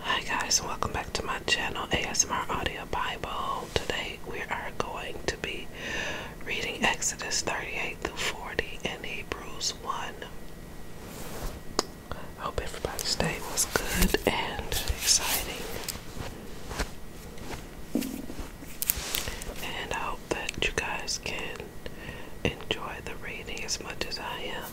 Hi guys welcome back to my channel ASMR Audio Bible. Today we are going to be reading Exodus 38 through 40 and Hebrews 1. Hope everybody's day was good and exciting. And I hope that you guys can enjoy the reading as much as I am.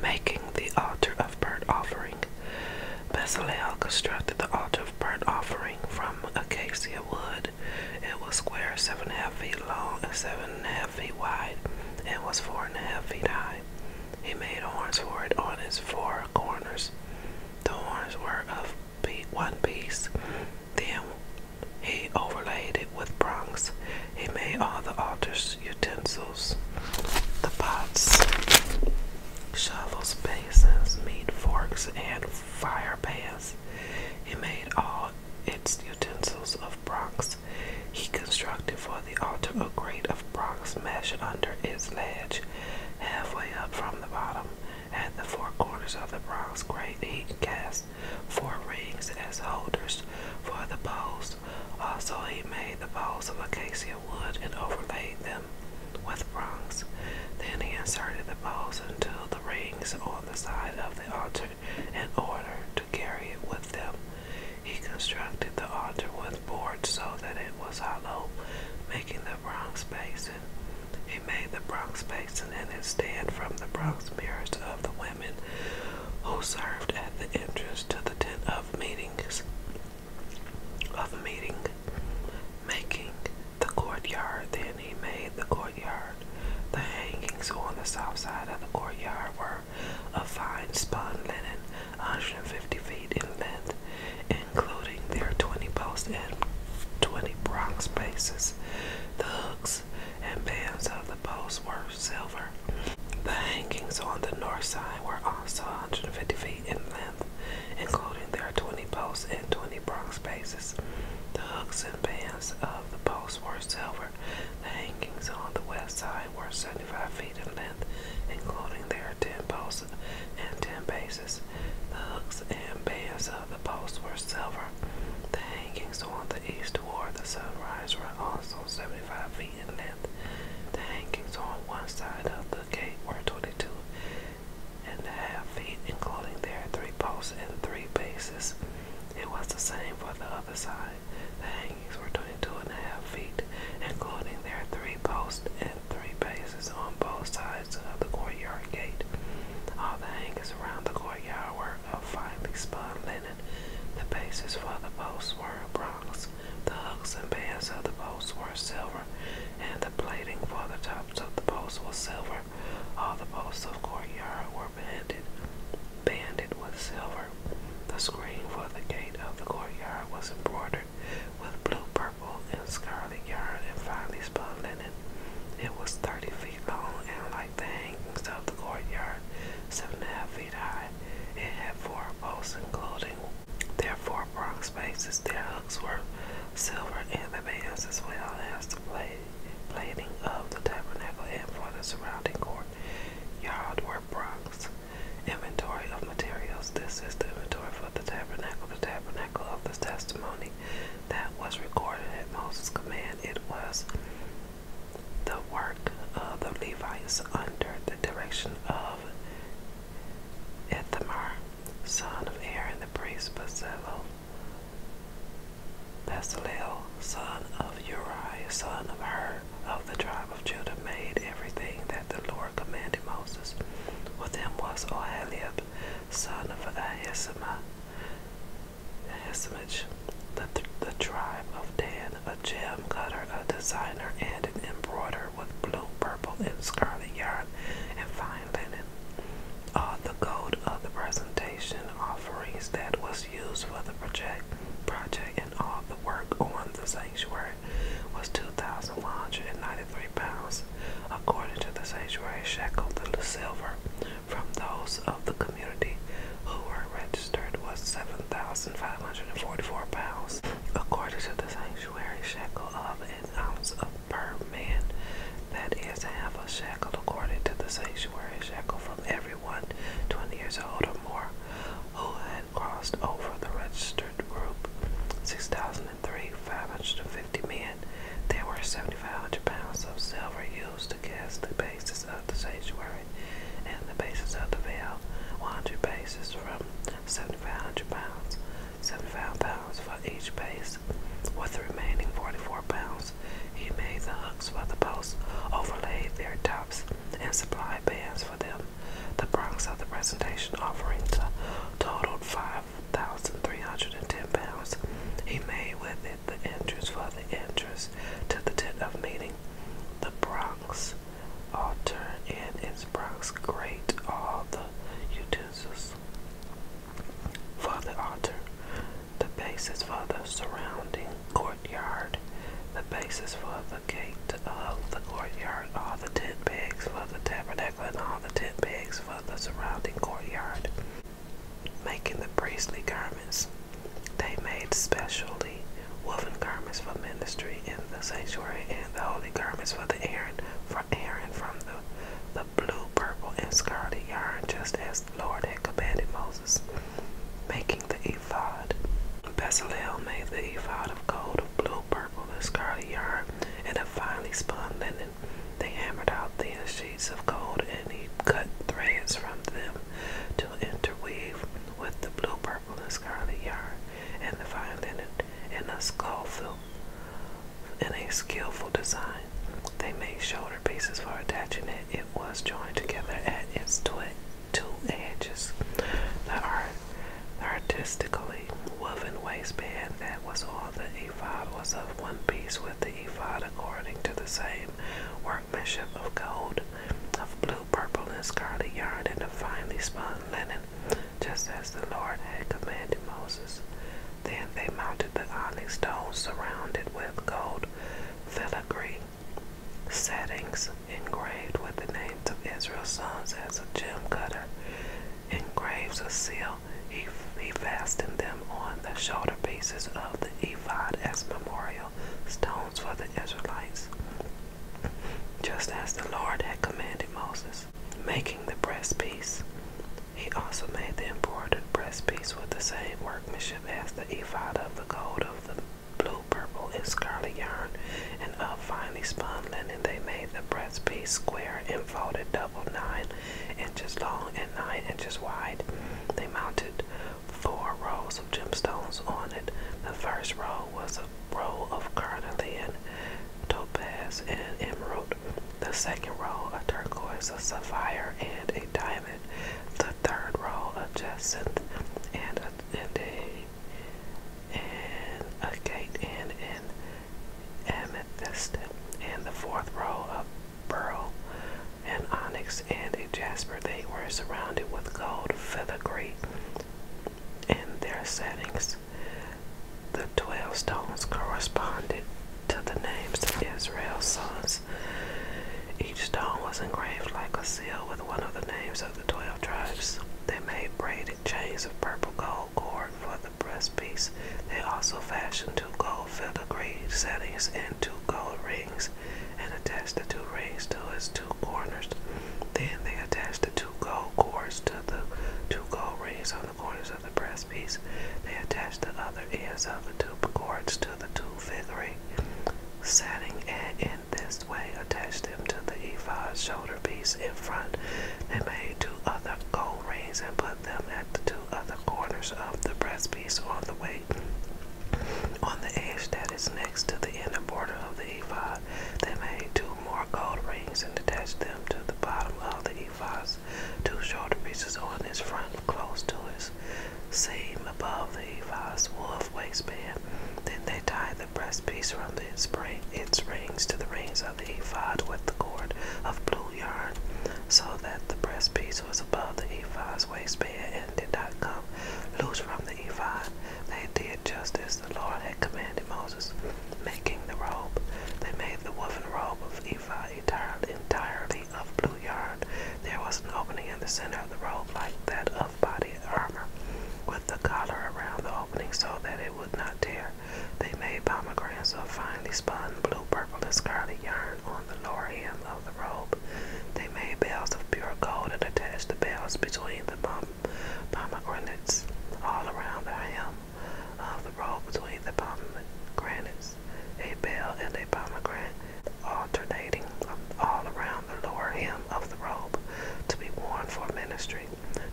Making the altar of burnt offering. Bezalel constructed the altar of burnt offering from acacia wood. It was square, seven and a half feet long and seven and a half feet wide, and was four and a half feet high. He made horns for it on its four corners. The horns were of one piece. Then he overlaid it with bronze. He made all the altar's utensils, the pots, shovels, basins, meat forks, and fire pans. He made all its utensils of bronze. He constructed for the altar a grate of bronze measured under its ledge, halfway up from the bottom. At the four corners of the bronze grate, he cast four rings as holders for the poles. Also, he made the poles of acacia wood and overlaid them with bronze. Then he inserted the poles into the rings on the side of the altar in order to carry it with them. He constructed the altar with boards so that it was hollow, making the bronze basin he made the bronze Basin and its stand from the bronze mirrors of the women who served at the entrance to the tent of meetings of meeting, making the courtyard. Then he made the courtyard. The hangings on the south side of the courtyard were a fine spun linen, 150 feet in length, including their 20 posts and 20 bronze bases. The hooks and bands of the posts were silver. The hangings on the north side were also 150 feet in length, including their 20 posts and 20 bronze bases. The hooks and bands of the posts were silver. The hangings on the west side were 75 feet in length, including their 10 posts and 10 bases. The hooks and bands of the posts were silver. The hangings on the east toward the sunrise were also 75 feet in length. The hangings on one side of the gate were 22 and a half feet, including their three posts and three bases. It was the same for the other side. The hangings were 22 and a half feet, including their three posts and three bases on both sides of the courtyard gate. All the hangers around the courtyard were of finely spun linen. The bases for the posts were bronze, the hooks and bands of the posts were silver, and the plating for the tops of the posts was silver. All the posts of courtyard were banded, banded with silver. The screen for the gate of the courtyard was embroidered with blue, purple, and scarlet yarn and finely spun linen. It was thirty feet long and like the hangings of the courtyard, seven and a half feet high. It had four posts, including their four bronze bases. Their hooks were silver and the bands, as well as the plate, plating of the tabernacle and for the surrounding courtyard were bronze. Inventory of materials. This is the inventory for the tabernacle, the tabernacle of the testimony, that was recorded at Moses' command. It was the work of the Levites under the direction of Ithamar, son of Aaron the priest, Bezalel, son of Uri, son of Hur, of the tribe of Judah, made everything that the Lord commanded Moses. With him was Oholiab, son of Ahisamah, Hesmich, the, the tribe of Dan, a gem cutter, a designer, and an embroider with blue, purple, and scarlet yarn and fine linen. All the gold of the presentation offerings that was used for the project, project and all the work on the sanctuary was 2,193 pounds, according to the sanctuary shekel, the silver from those of the community who were registered was 7,544 pounds. According to the sanctuary shekel of an ounce of per man, that is half a shekel according to the sanctuary shekel from everyone 20 years old or more who had crossed over the registered group. 6,003, men men. There were 7,500 pounds of silver used to cast the bases of the sanctuary and the bases of the veil, 100 bases from 7,500 pounds, 75 pounds for each base. With the remaining 44 pounds, he made the hooks for the posts, overlaid their tops, and supplied bands for them. The bronze of the presentation offerings totaled 5,310 pounds. He made with it the entrance for the entrance to the tent of meeting, the Bronx altar, and its Bronx grate, all the utensils for the altar, the basis for the surrounding courtyard, the basis for the gate of the courtyard, all the tent pegs for the tabernacle, and all the tent pegs for the surrounding courtyard making the priestly garments. They made specially woven garments for ministry in the sanctuary and the holy garments for the Aaron for Aaron from the, the blue, purple, and scarlet yarn, just as the Lord had commanded Moses. Making the ephod. Bezalel made the ephod of gold of blue, purple, and scarlet yarn and of finely spun linen they hammered out thin sheets of gold and he cut threads from them to interweave with the blue, purple, and scarlet yarn and the fine linen in a skillful, in a skillful design. They made shoulder pieces for attaching it. It was joined together at its two, edges. The art, artistically woven waistband that was on the ephod was of one piece the ephod according to the same workmanship of gold, of blue, purple, and scarlet yarn, and of finely spun linen, just as the Lord had commanded Moses. Then they mounted the onyx stones surrounded with gold filigree settings engraved with the names of Israel's sons as a gem cutter engraves a seal he, fastened them on the shoulder pieces of the ephod as memorial stones for the Israelites, just as the Lord had commanded Moses, making the breastpiece. He also made the embroidered breastpiece with the same workmanship as the ephod of the gold of the blue, purple, and scarlet yarn, and of finely spun linen. They made the breastpiece square and folded double nine inches long and 9 inches wide. They mounted four rows of gemstones on it. The first row was a row of carnelian, topaz, and emerald. The second row, a turquoise, a sapphire, and a diamond. The third row, a jacinth, and a, and a, and a gate, and an amethyst. And the fourth row, a beryl, an onyx, and a jasper. They were surrounded with gold filigree in their settings. The twelve stones corresponded to the names of Israel's sons. Each stone was engraved like a seal with one of the names of the twelve tribes. They made braided chains of purple gold cord for the breastpiece. They also fashioned two gold filigree settings and two gold rings and attach the two rings to its two corners. Then they attach the two gold cords to the two gold rings on the corners of the breast piece. They attach the other ends of the two cords to the two figuring setting and in this way attach them to the ephod shoulder piece in front. They made two other gold rings and put them at the two of the quarters of the breastpiece on the weight. On the edge that is next to the inner border of the ephod, they made two more gold rings and attached them to the bottom of the ephod. two shorter pieces on its front, close to its seam above the ephod's wolf waistband. Then they tied the breastpiece from the spring, its rings to the rings of the ephod with the cord of blue yarn, so that the breastpiece was above the ephod his and did not come loose from the ephod. They did just as the Lord had commanded Moses, making the robe. They made the woven robe of ephod entirely of blue yarn. There was an opening in the center of the robe like that of body armor, with the collar around the opening so that it would not tear. They made pomegranates of finely spun blue, purple, and scarlet yarn on the lower hem of the robe. They made bells of pure gold and attached the bells between the pomegranates all around the hem of the robe between the pomegranates. A bell and a pomegranate alternating all around the lower hem of the robe to be worn for ministry.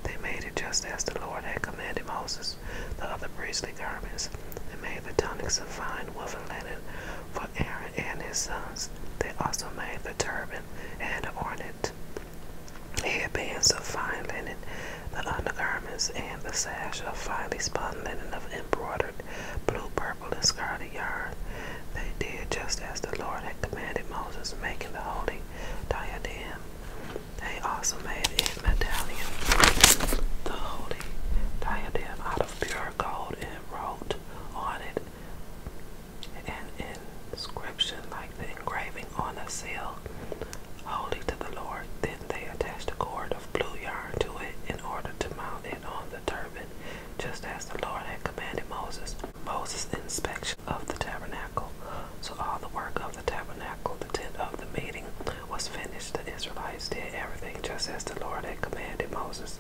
They made it just as the Lord had commanded Moses, the other priestly garments. They made the tunics of fine Woven linen for Aaron and his sons. They also made the turban and ornament, headbands of fine linen, the undergarments, and the sash of finely spun linen of embroidered blue, purple, and scarlet yarn. They did just as the Lord had commanded Moses, making the holy diadem. They also made in medallion the holy diadem. I pure gold and wrote on it an inscription like the engraving on a seal, holy to the Lord. Then they attached a cord of blue yarn to it in order to mount it on the turban, just as the Lord had commanded Moses. Moses' inspection of the tabernacle. So all the work of the tabernacle, the tent of the meeting, was finished, the Israelites did everything just as the Lord had commanded Moses.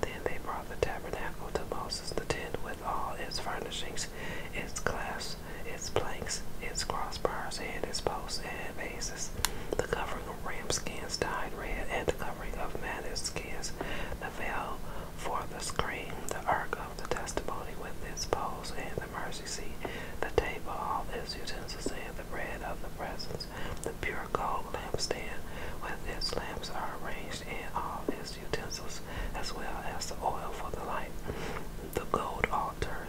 Then they brought the tabernacle to Moses, the tent with all its furnishings, its clasps, its planks, its crossbars, and its posts and bases. The covering of ram skins dyed red, and the covering of man's skins, the veil for the screen, the ark of the testimony with its poles, and the mercy seat, the table, all its utensils, and the bread of the presence, the pure gold lampstand, with its lamps are arranged and all its utensils, as well as the oil for the light, the gold altar,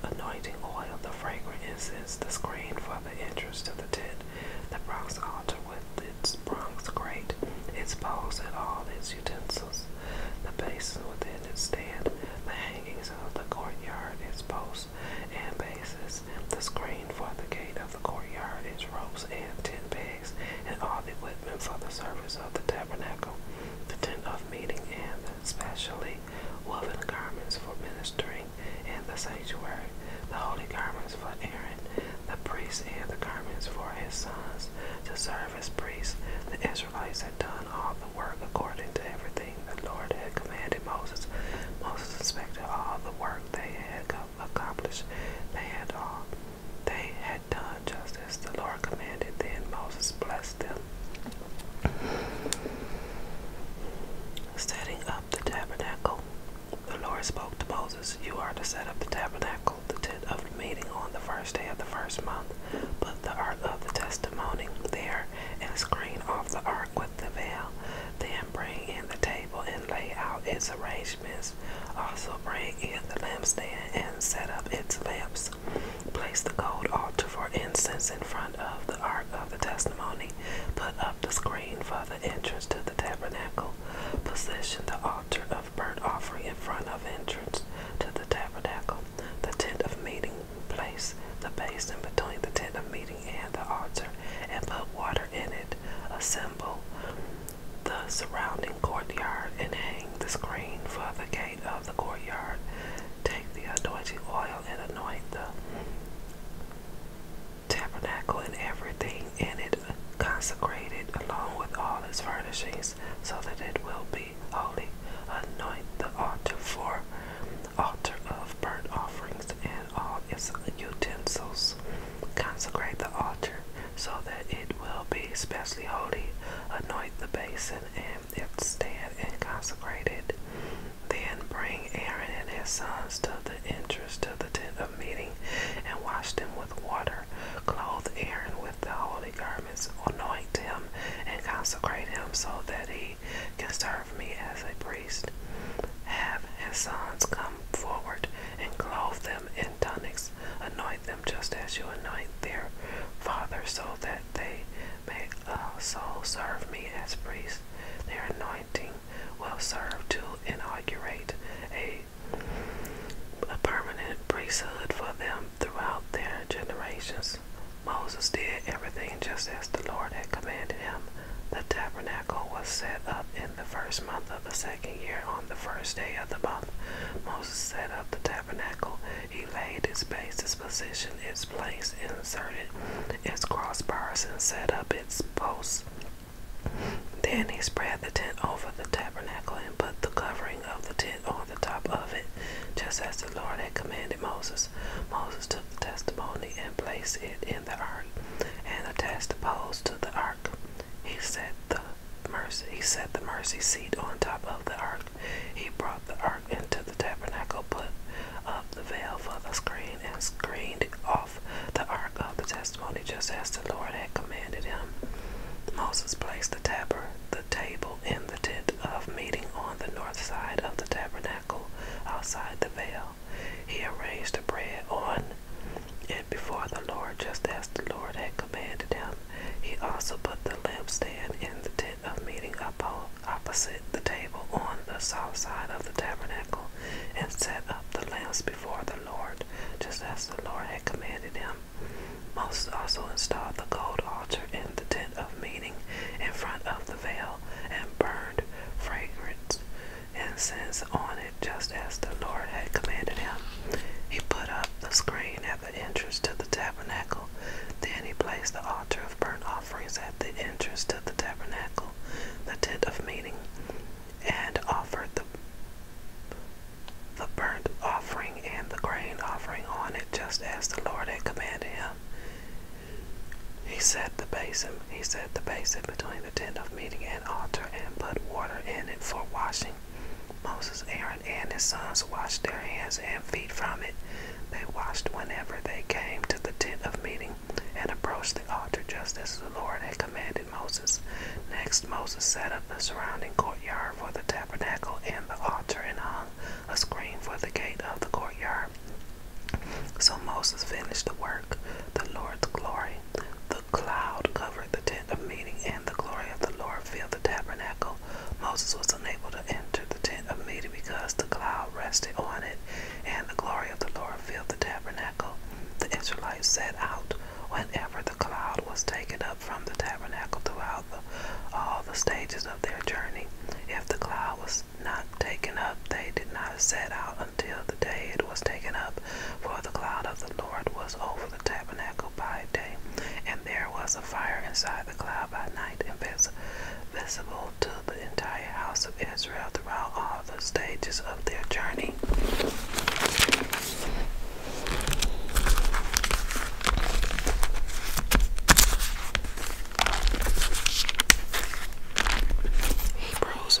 the anointing oil, the fragrant incense, the screen for the entrance to the tent, the bronze altar with its bronze grate, its bowls and all its utensils, the basin within its stand, the hangings of the courtyard, its bow and bases. The screen for the gate of the courtyard is ropes and ten pegs, and all the equipment for the service of the tabernacle, the tent of meeting, and especially woven garments for ministering in the sanctuary, the holy garments for Aaron, the priests, and the garments for his sons to serve as priests. The Israelites had done all the work according to everything the Lord had commanded Moses. Moses inspected all the work they had accomplished. They had all um, they had done just as the Lord commanded. Then Moses blessed them. Setting up the tabernacle. The Lord spoke to Moses, You are to set up the tabernacle, the tent of meeting, on the first day of the first month. Put the ark of the testimony there and screen of the ark with the veil. Then bring in the table and lay out its arrangements. Also bring in the lampstand and set up its lamps. Place the gold altar for incense in front of the ark of the testimony. Put up the screen for the entrance to the tabernacle. Position the altar of burnt offering in front of entrance to the tabernacle. The tent of meeting. Place the basin between the tent of meeting and the altar and put water in it, assemble the surrounding courtyard and hang the screen for the gate of the courtyard. Take the anointing oil and anoint the tabernacle and everything in it, consecrated, along with all its furnishings, so that it will be holy. Anoint the altar for altar of burnt offerings and all its utensils. Consecrate the altar so that it will be specially holy. Anoint the basin and its stand and consecrate it. Then bring Aaron and his sons to the entrance of the tent of meeting and wash them with water. Clothe Aaron with the holy garments, anoint him, and consecrate him so that he can serve me as a priest. Have his sons come forward and clothe them in tunics, anoint them just as you anoint their father, so that they may also serve me as priests. Their anointing will serve to inaugurate a, a permanent priesthood for them throughout their generations. Moses did everything just as the Lord had commanded him the tabernacle was set up in the first month of the second year on the first day of the month. Moses set up the tabernacle. He laid its base, its position, its place, inserted its crossbars, and set up its posts. Then he spread the tent over the tabernacle and put the covering of the tent on the top of it, just as the Lord had commanded Moses. Moses took the testimony and placed it in the ark, and attached the poles to the ark. He set the mercy seat on top of the ark. He brought the ark into the tabernacle, put up the veil for the screen, and screened off the ark of the testimony, just as the Lord had commanded him. Moses placed the taber the table in the tent of meeting on the north side of the tabernacle, outside the veil. He arranged the bread on and before the Lord, just as the Lord had commanded him. He also put the lampstand in the tent of meeting opposite the table on the south side of the tabernacle, and set up the lamps before the Lord, just as the Lord had commanded him. Moses also installed the gold altar in the tent of meeting in front of the veil, and burned fragrance and since on it just as the Lord had commanded him. He put up the screen at the entrance to the tabernacle. Then he placed the altar of burnt offerings at the entrance to the tabernacle, the tent of meeting, and offered the burnt offering and the grain offering on it just as the Lord had commanded him. He set the basin. He set the basin between the tent of meeting and altar, and put water in it for washing. Moses, Aaron, and his sons washed their hands and feet from it. They washed whenever they came to the tent of meeting and approached the altar, just as the Lord had commanded Moses. Next, Moses set up the surrounding courtyard for the tabernacle and the altar, and hung a screen for the gate of the courtyard. So Moses finished the work, the Lord's glory. The cloud covered the tent of meeting, and the glory of the Lord filled the tabernacle. Moses was unable to enter the tent of meeting because the cloud rested on it, and the glory of the Lord filled the tabernacle. The Israelites set out whenever the cloud was taken up from the tabernacle throughout all the stages of their journey. If the cloud was not taken up, they did not set out until the day it was taken up. For the cloud of the Lord was over the tabernacle by day, and there was a fire inside the cloud by night, and was visible to the entire house of Israel throughout all the stages of their journey. Hebrews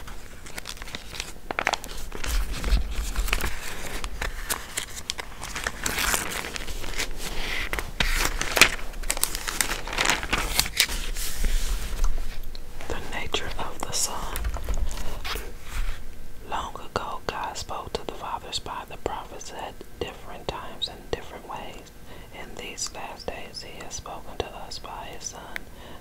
The nature of the Son. Long ago, God spoke to the fathers by the prophets at different times and different ways. In these last days he has spoken to us by his Son.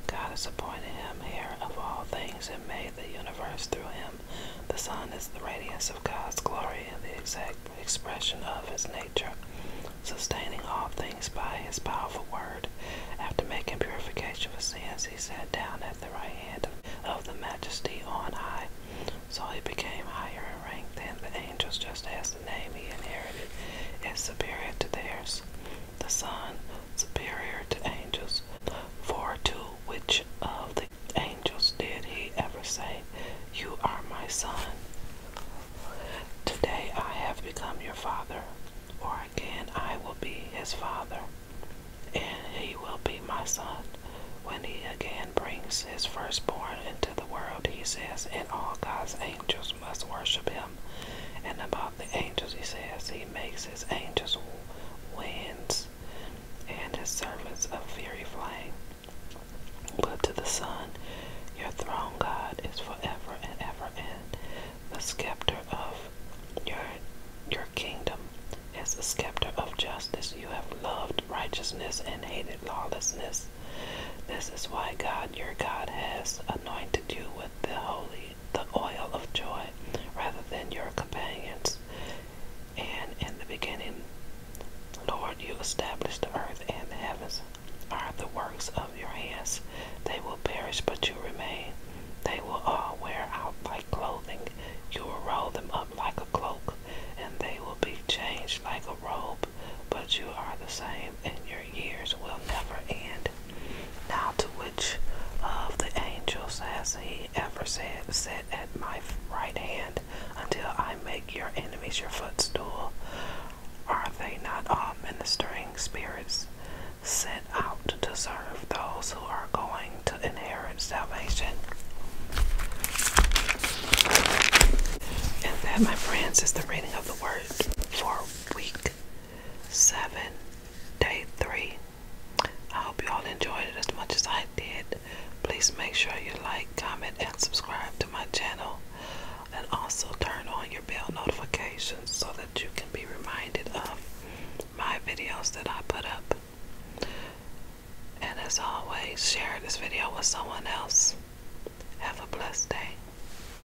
God has appointed him heir of all things and made the universe through him. The Son is the radiance of God's glory and the exact expression of his nature, sustaining all things by his powerful word. After making purification for sins, he sat down at the right hand of the majesty on high. So he became higher in rank than the angels, just as the name he inherited is superior to theirs the Son, superior to angels. For to which of the angels did he ever say, You are my son? Today I have become your father, or again I will be his father, and he will be my son. When he again brings his firstborn into the world, he says, And all God's angels must worship him. And about the angels, he says, He makes his angels winds and his servants a fiery flame. But to the Son, your throne, God, is forever and ever, and the scepter of your your kingdom is the scepter of justice. You have loved righteousness and hated lawlessness. This is why God, your God, has anointed you with the holy, the oil of joy, rather than your companions. And in the beginning, Lord, you established the earth and the heavens are the works of your hands. They will perish, but you remain. They will all wear out like clothing. You will roll them up like a cloak, and they will be changed like a robe, but you are the same and your years will never end. Now to which of the angels has he ever said, Sit at my right hand until I make your enemies your footstool? Are they not all ministering spirits sent out to serve those who are going to inherit salvation? And that, my friends, is the reading of the word for week seven, day three. I hope you all enjoyed it as much as I did. Please make sure you like, comment, and subscribe to my channel. And also turn on your bell notifications so that you can be reminded of my videos that I put up. And as always, share this video with someone else. Have a blessed day.